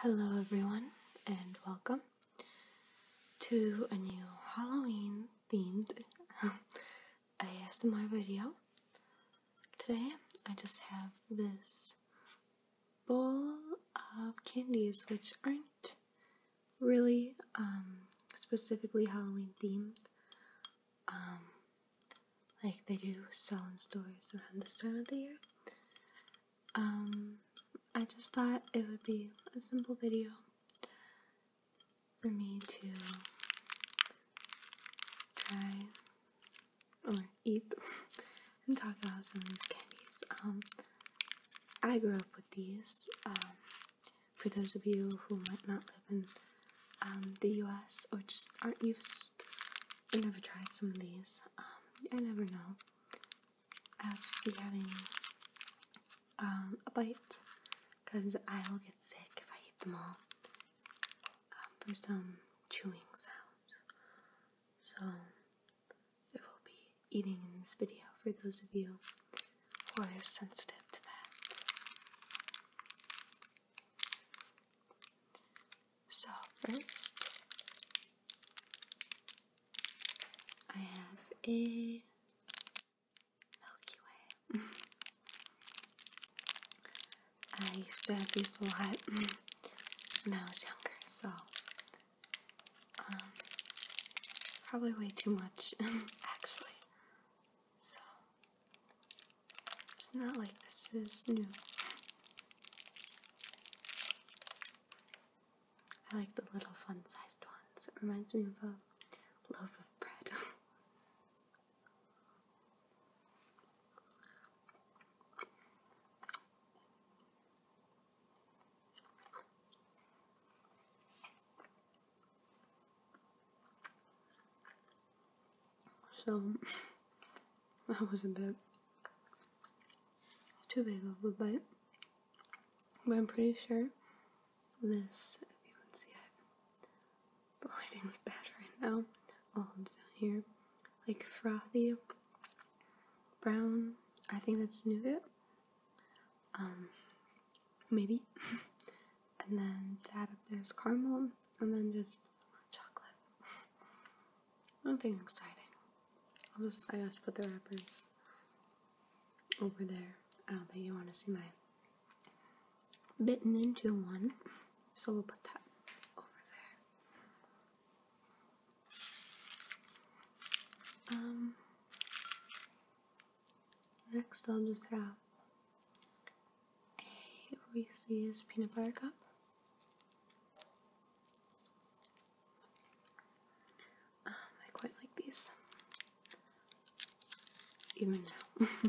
Hello, everyone, and welcome to a new Halloween themed um, ASMR video. Today, I just have this bowl of candies which aren't really um, specifically Halloween themed. Um, like they do sell in stores around this time of the year. Um, I just thought it would be a simple video for me to try or eat and talk about some of these candies. Um, I grew up with these. Um, for those of you who might not live in um, the US or just aren't used i never tried some of these. I um, never know. I'll just be having um, a bite because I will get sick if I eat them all um, for some chewing sounds. So I will be eating in this video for those of you who are sensitive to that. So first, I have a Milky Way. I used to have these a lot when I was younger, so um, probably way too much, actually. So it's not like this is new. I like the little fun sized ones. It reminds me of a um, loaf of bread. So that was a bit too big of a bite. But I'm pretty sure this, if you can see it, the lighting's bad right now. All down here, like frothy brown. I think that's nougat. Um, maybe. and then that up there's caramel, and then just chocolate. Nothing exciting. I'll just, I just put the wrappers over there. I don't think you want to see my bitten into one, so we'll put that over there. Um, next I'll just have a Reese's peanut butter cup. Um, I quite like these, even now.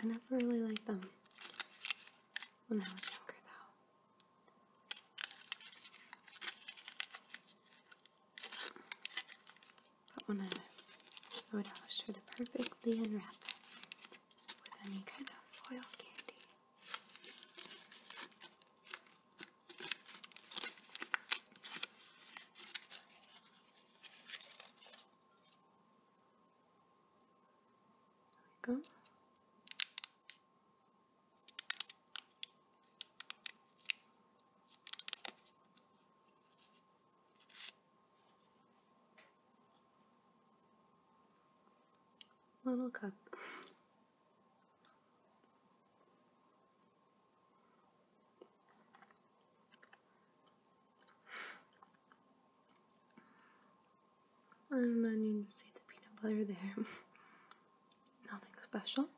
I never really liked them when I was younger, though but when I would always try to perfectly unwrap it with any kind of foil candy. There we go. Little cup. And then you just see the peanut butter there. Nothing special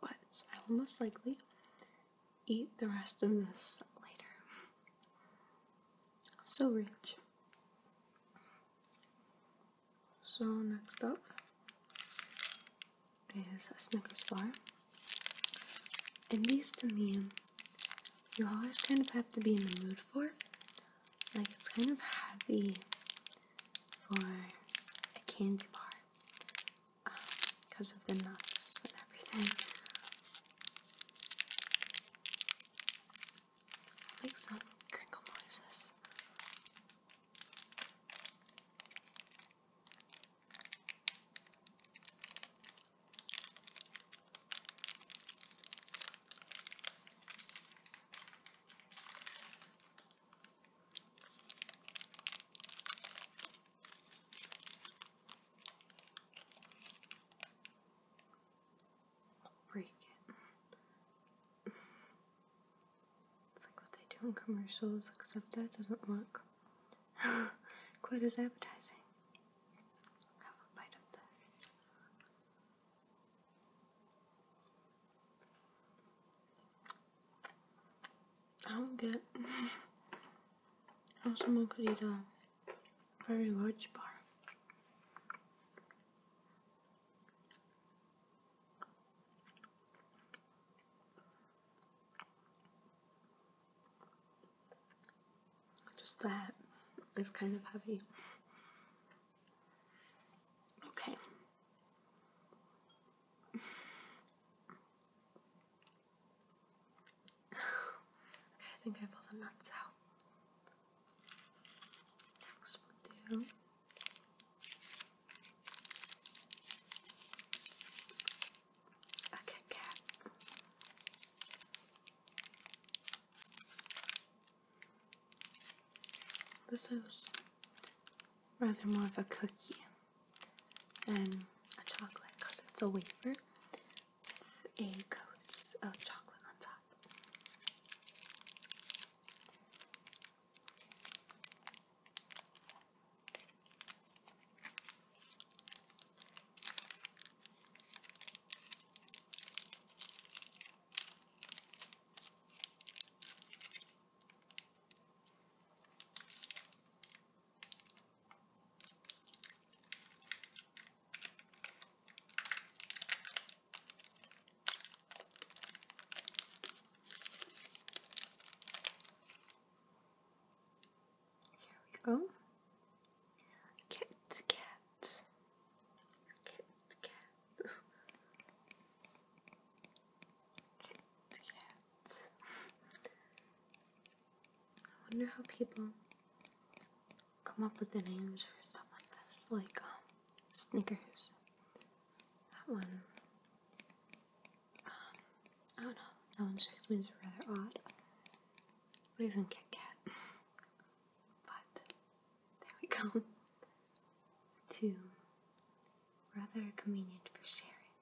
but I will most likely eat the rest of this later. So rich. So, next up is a Snickers bar. At least to me, you always kind of have to be in the mood for. Like, it's kind of heavy for a candy bar because of the nuts and everything. like some crinkle noises. I'll break it. It's like what they do in commercials, except that doesn't look quite as appetizing. Have a bite of that. I don't get how someone could eat a very large bar. Just that is kind of heavy. Okay. okay, I think I pulled the nuts out. Next we do. A Kit Kat. This is rather more of a cookie and a chocolate because it's a wafer with a coat of chocolate on top. Here we go. Cat, cat, Kit Kat. Yet. I wonder how people come up with the names for stuff like this, like um, Snickers. That one, um, I don't know. That one just me as rather odd. Or even Kit Kat. but there we go. Two rather convenient for sharing.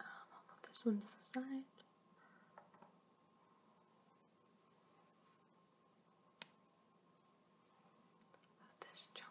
Um, I'll put this one to the side. this chunk.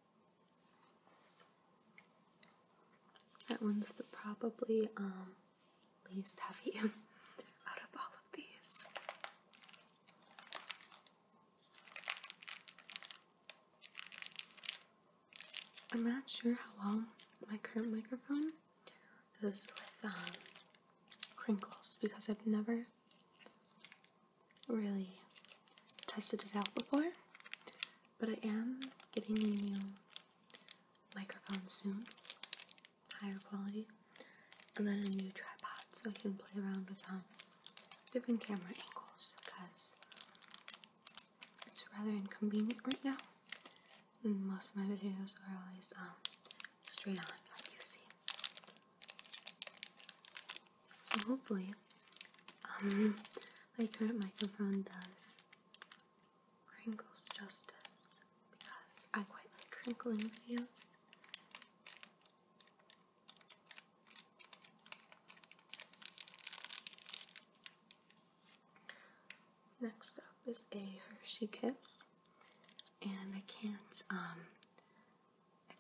That one's the probably um, least heavy out of all of these. I'm not sure how well my current microphone does with um, crinkles because I've never really tested it out before, but I am getting a new microphone soon, higher quality, and then a new tripod so I can play around with um, different camera angles because it's rather inconvenient right now. And most of my videos are always um, straight on, like you see. So hopefully, um, my current microphone does crinkles justice because I quite like crinkling videos. Next up is a Hershey Kiss, and I can't um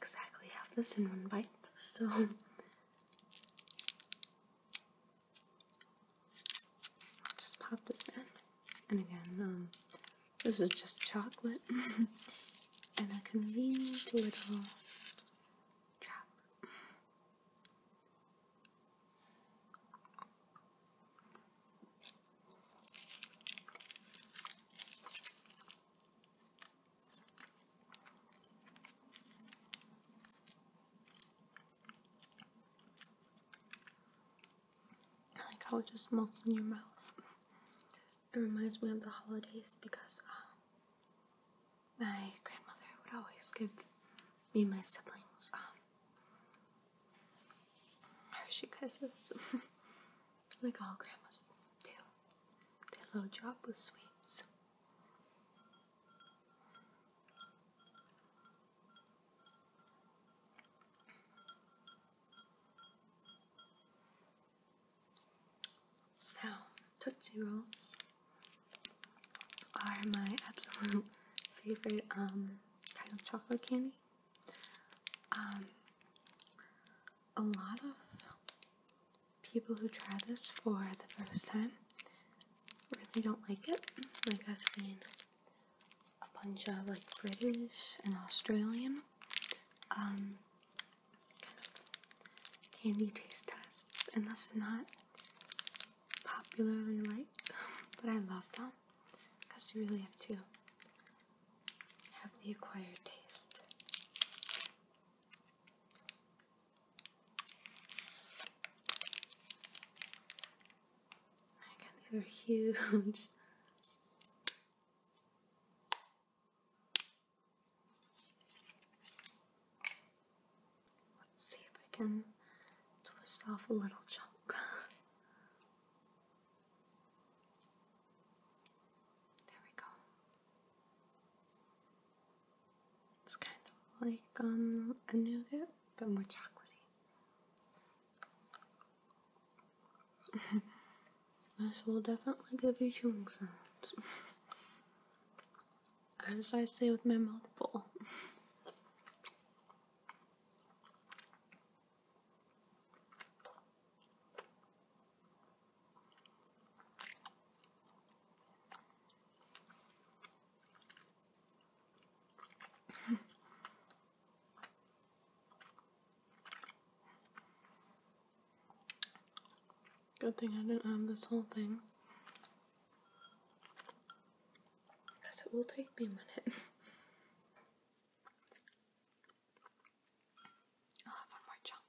exactly have this in one bite, so just pop this in. And again, um, this is just chocolate and a convenient little drop like how it just melts in your mouth. It reminds me of the holidays because uh, my grandmother would always give me and my siblings um, kisses. like all grandmas do. Did a little drop of sweets. Now, Tootsie Rolls are my absolute favorite um, kind of chocolate candy. Um, a lot of people who try this for the first time really don't like it. Like I've seen a bunch of like British and Australian um, kind of candy taste tests, and that's not popularly liked, but I love them because you really have to have the acquired taste. I got they were huge. Let's see if I can twist off a little chunk. There we go. It's kind of like um, a nougat, but more chocolatey. this will definitely give you chewing sounds. As I say with my mouth full. Good thing I do not have this whole thing. Because it will take me a minute. I'll have one more chunk.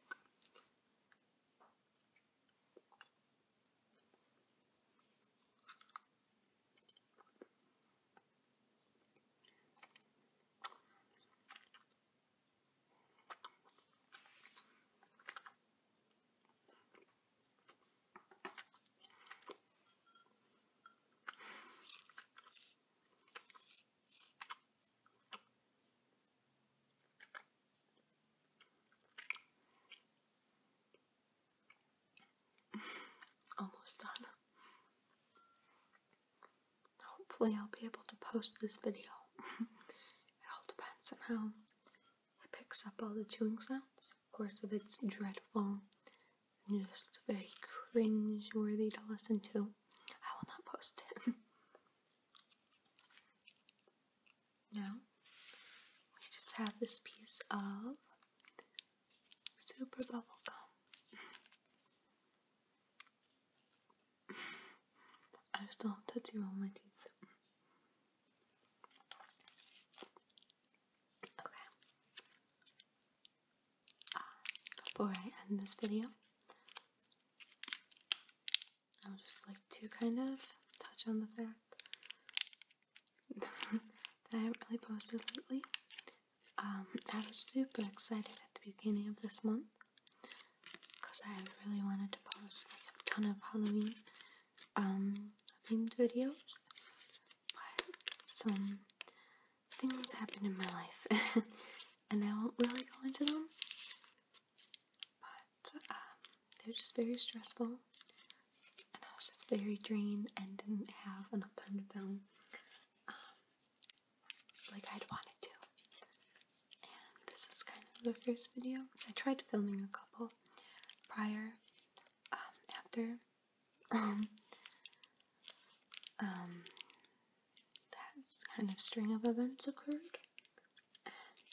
Almost done. Hopefully I'll be able to post this video. it all depends on how it picks up all the chewing sounds. Of course, if it's dreadful just very cringe worthy to listen to, I will not post it. now, we just have this piece of super bubble gum. I still have Tootsie Roll my teeth. Okay before I end this video, I would just like to kind of touch on the fact that I haven't really posted lately. Um, I was super excited at the beginning of this month because I really wanted to post like a ton of Halloween um, themed videos, but some things happened in my life, and I won't really go into them. But um, they are just very stressful, and I was just very drained and didn't have enough time to film um, like I'd wanted to. And this is kind of the first video. I tried filming a couple prior, um, after um, um, that kind of string of events occurred,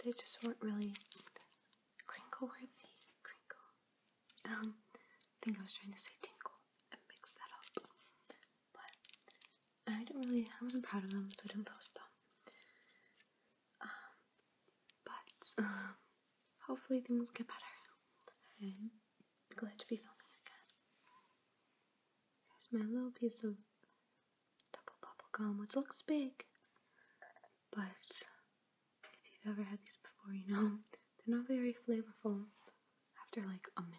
they just weren't really crinkle worthy. Crinkle. Um, I think I was trying to say tinkle and mix that up, but I didn't really. I wasn't proud of them, so I didn't post them. Um, but hopefully things get better. i glad to be filming again. Here's my little piece of double bubble gum, which looks big, but if you've ever had these before, you know they're not very flavorful after like a minute.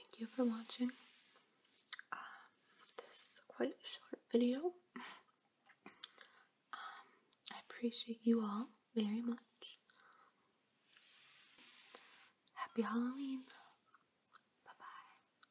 Thank you for watching um, this quite short video. Um, I appreciate you all very much. Happy Halloween. Bye bye.